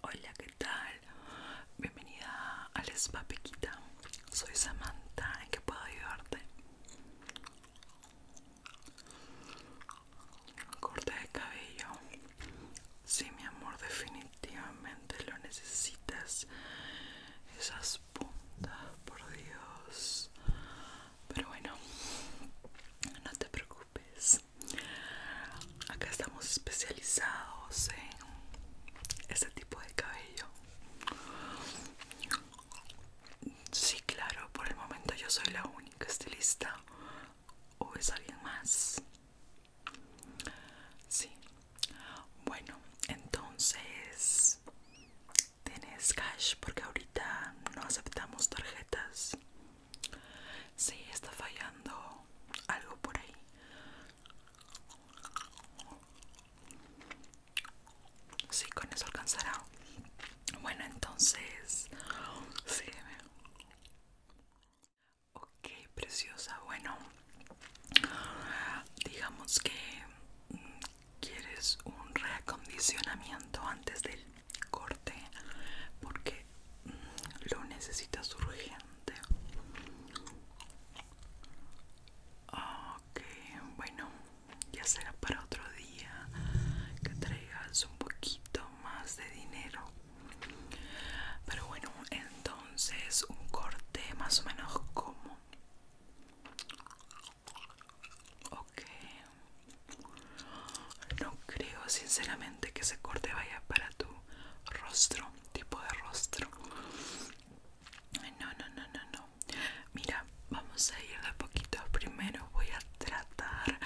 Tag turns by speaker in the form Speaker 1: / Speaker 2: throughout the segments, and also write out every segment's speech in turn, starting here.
Speaker 1: Hola, ¿qué tal? Bienvenida al Spa piquita Soy Samantha, ¿en qué puedo ayudarte? Corte de cabello. Sí, mi amor, definitivamente lo necesitas. Esas puntas, por Dios. Pero bueno, no te preocupes acá estamos especializados en este tipo de cabello. Sí, claro, por el momento yo soy la única estilista. ¿O es alguien más? Sí. Bueno, entonces... ¿Tienes cash? Porque ahorita no aceptamos tarjetas. Sí, está fallando algo por ahí. Sí, con eso alcanzará. Bueno, entonces... Sí, Ok, preciosa. Bueno, digamos que mm, quieres un reacondicionamiento antes del corte porque mm, lo necesitas urgente. Ok, bueno, ya será para otro día que traigas un poquito más de dinero. Pero bueno, entonces un corte más o menos como... Ok. No creo sinceramente que ese corte vaya para tu rostro, tipo de rostro. No, no, no, no, no. Mira, vamos a ir de poquito. Primero voy a tratar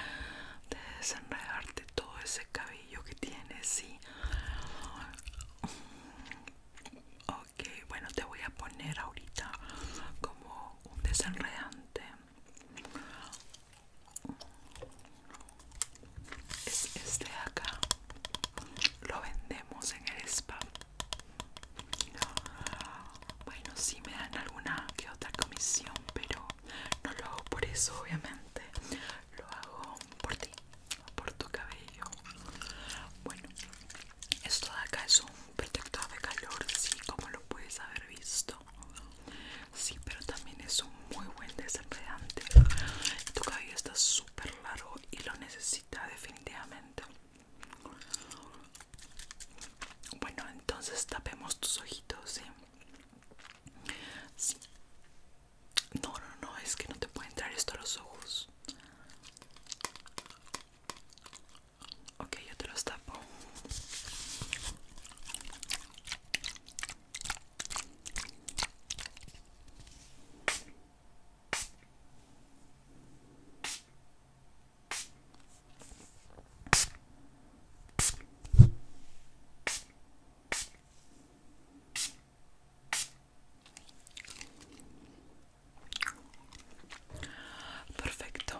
Speaker 1: de desenredarte todo ese cabello que tienes, ¿sí? Ok, bueno, te voy a poner ahorita como un desenredante es este de acá lo vendemos en el spa bueno si me dan alguna que otra comisión pero no lo hago por eso obviamente lo hago por ti por tu cabello bueno esto de acá es un protector de calor, sí, como lo puedes haber visto. Sí, pero también es un muy buen desenredante. Tu cabello está súper largo y lo necesita definitivamente. Bueno, entonces tapemos tus ojitos, Sí. No, no, no, es que no te puede entrar esto a los ojos. Ok, yo te los tapo. Perfecto.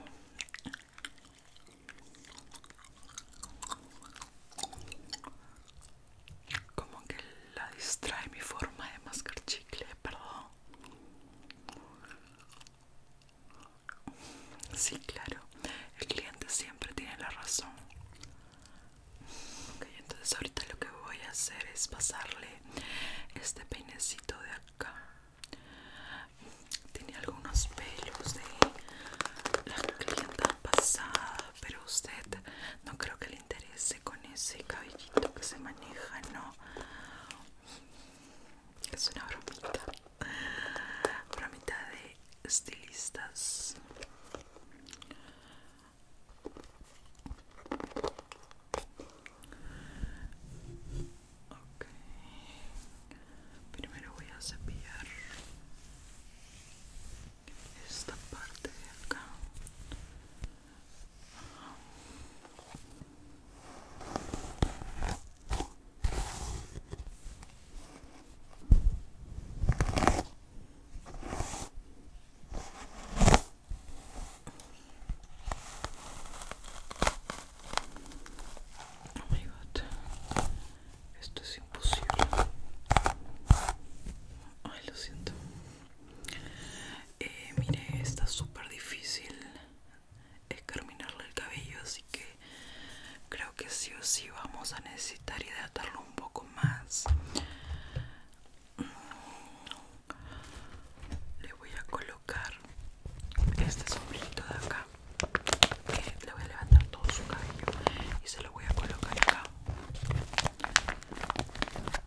Speaker 1: Como que la distrae mi forma de mascar chicle, perdón. Sí, claro. El cliente siempre tiene la razón. Ok, entonces ahorita lo que voy a hacer es pasarle este peinecito de acá tiene algunos pelos de la clienta pasada, pero a usted no creo que le interese con ese cabellito que se maneja, ¿no? Es una bromita. Bromita de estilistas. Ok. Primero voy a cepillar esta parte acá. Oh my god, esto es imposible. Ay, lo siento. Eh, mire, está súper difícil escarminarle el cabello, así que creo que sí o sí vamos a necesitar hidratarlo un poco más. Mm. Le voy a colocar este sombrerito de acá que le voy a levantar todo su cabello y se lo voy a colocar acá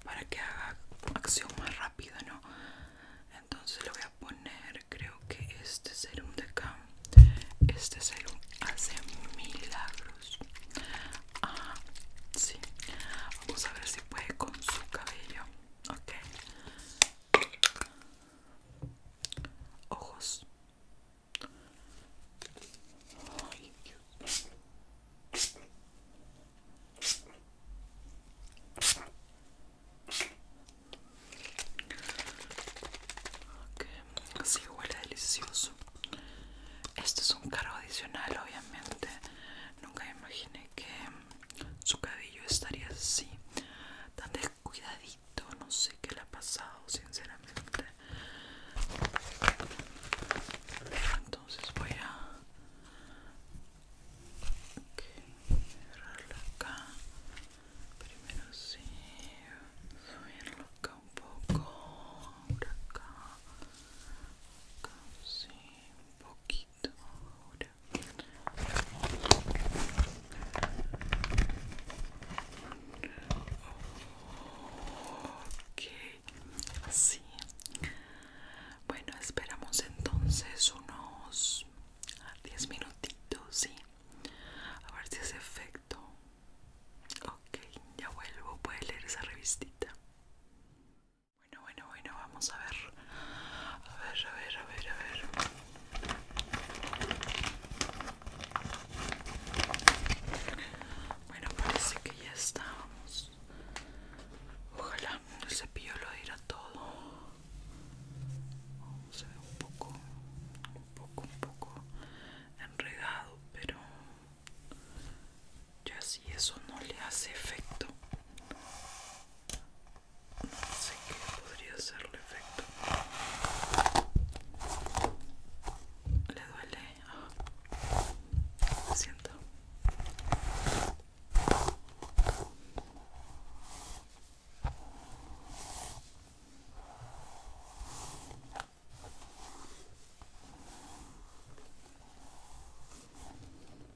Speaker 1: para que haga acción más rápido no entonces le voy a poner creo que este serum de acá este serum hace milagros ah sí vamos a ver si puede con su cabello ok Ojos. Así huele delicioso. Esto es un cargo adicional, obviamente. Nunca imaginé que su cabello estaría así, tan descuidadito, no sé qué le ha pasado, sinceramente. Entonces voy a cerrarlo acá. Primero sí, subirlo acá un poco, ahora acá, acá sí, un poquito, ok así bueno esperamos entonces unos 10 minutitos sí a ver si hace efecto ok ya vuelvo puede leer esa revistita bueno, bueno, bueno, vamos a ver. A ver, a ver, a ver, a ver. Bueno, parece que ya estábamos. Ojalá el cepillo lo dirá todo. Oh, se ve un poco, un poco, un poco enredado, pero ya si eso no le hace efecto no sé qué podría ser el efecto. ¿Le duele? Ah. lo siento.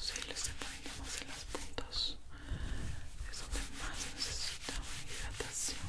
Speaker 1: Si les le en las puntas, es donde más necesita hidratación.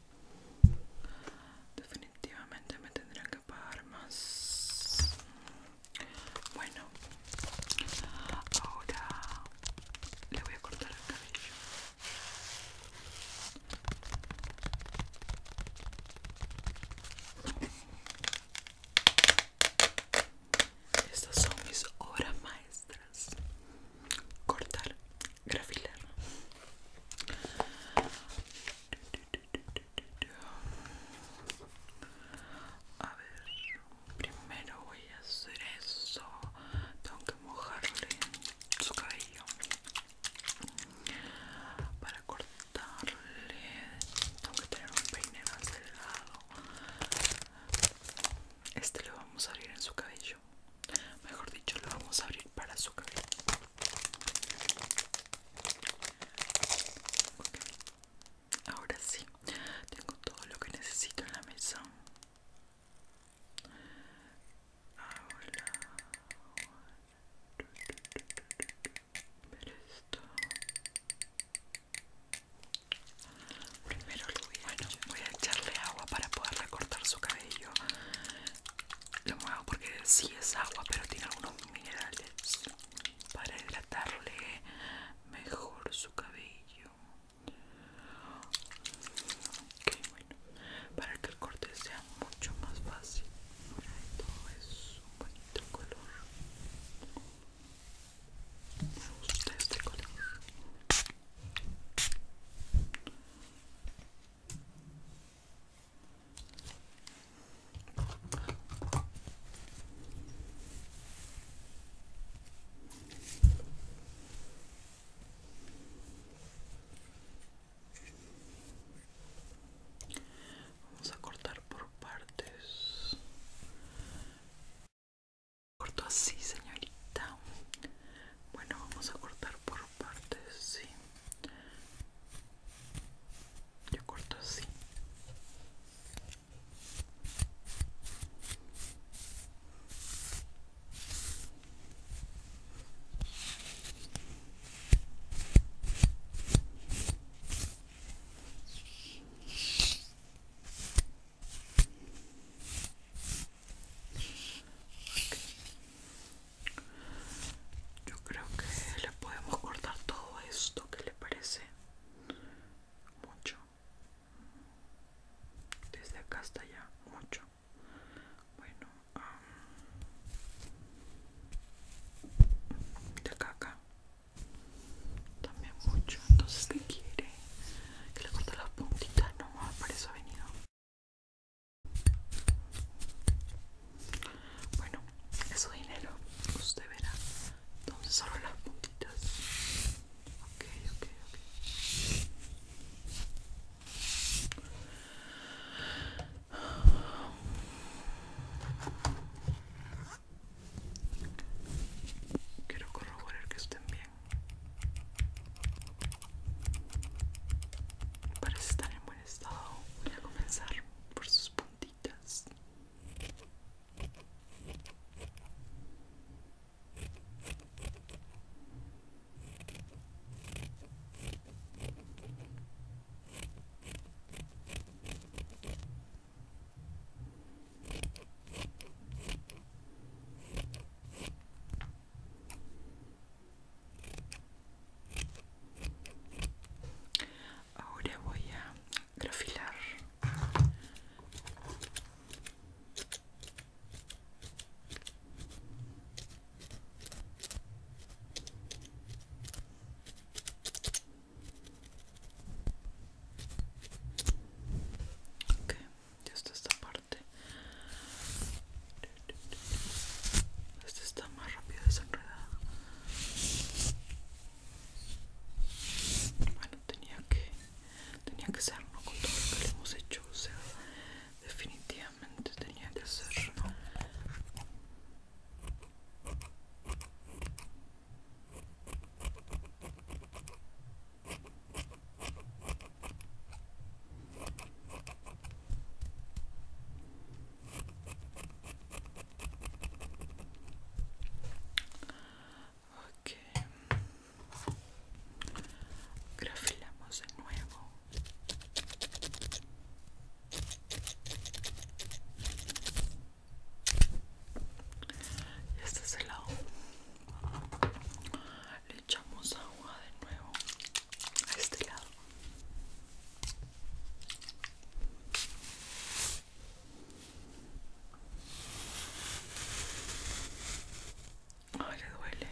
Speaker 1: definitivamente me tendrán que pagar más bueno ahora le voy a cortar el cabello estas son mis obras maestras cortar, grafilar. A ver, primero voy a hacer eso. Tengo que mojarle su cabello para cortarle. Tengo que tener un peine más delgado. Este le vamos a abrir en su cabello. Mejor dicho, lo vamos a abrir para su cabello. Ahora sí, tengo todo lo que necesito en la mesa. Ahora, esto. Primero lo voy bueno, voy a echarle agua para poder recortar su cabello. Lo muevo porque sí es agua, pero tiene algunos minerales para hidratarle mejor su cabello. Ok, bueno, para que el corte sea mucho más fácil. todo es un bonito color. Me gusta este color. Vamos a cortar por partes corto así señorita bueno vamos a cortar por partes sí yo corto así yo creo que le podemos cortar todo esto que le parece mucho. Desde acá hasta allá, mucho. Bueno, de acá acá. También mucho. Entonces, ¿qué quiere? Que le corte las puntitas No para eso ha venido. Bueno, eso dinero usted verá. Entonces solo las puntitas. Ok, ok, ok. Quiero corroborar que estén bien. Parece estar en buen estado. Voy a comenzar por sus puntitas. Ahora voy a grafilar. Okay, está esta parte este está más rápido desenredado bueno tenía que tenía que ser con todo lo que le hemos hecho o sea definitivamente tenía que ser Ok, grafilamos de nuevo. Y este es el lado le echamos agua de nuevo a este lado Ay, le duele.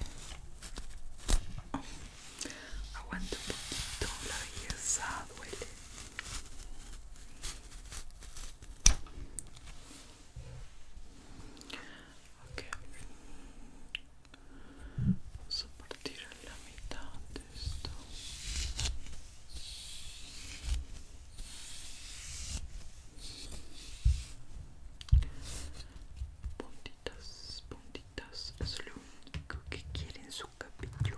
Speaker 1: Aguanto un poquito, la belleza duele. Vamos a partir en la mitad de esto. Puntitas, puntitas, es lo único que quiere en su cabello.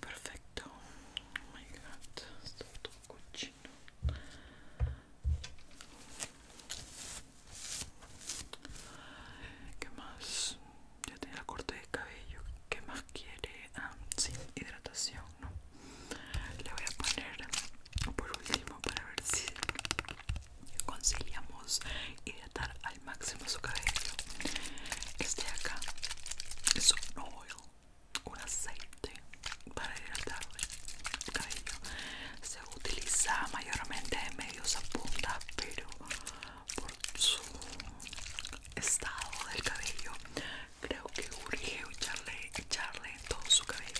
Speaker 1: Perfecto. Oh my god, está todo cochino. ¿Qué más? Ya tenía el corte de cabello. ¿Qué más quiere? Ah, sí, hidratación, ¿no? Le voy a poner por último para ver si conciliamos hidratación al máximo su cabello. Este de acá es un oil, un aceite para hidratar el cabello. Se utiliza mayormente en medios a punta, pero por su estado del cabello, creo que urge echarle, echarle todo su cabello.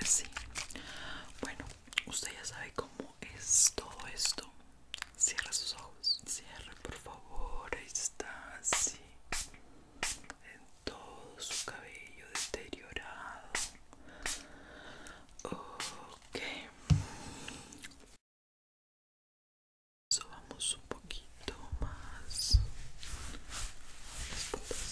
Speaker 1: así bueno, usted ya sabe cómo es todo esto. Cierra sus ojos. Cierre, por favor. Ahí está, así. En todo su cabello deteriorado. Ok. Vamos un poquito más las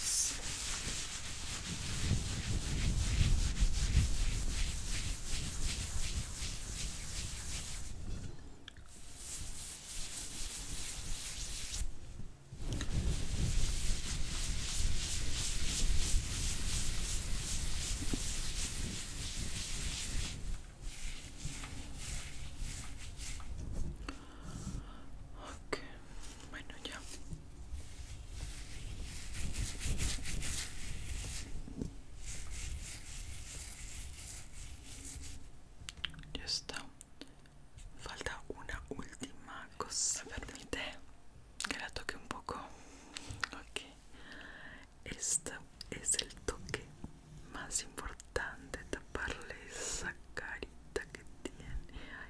Speaker 1: Okay. Bueno, ya ya está. Falta una última cosa. permite que la toque un poco. Ok. Este es el toque más importante. Taparle esa carita que tiene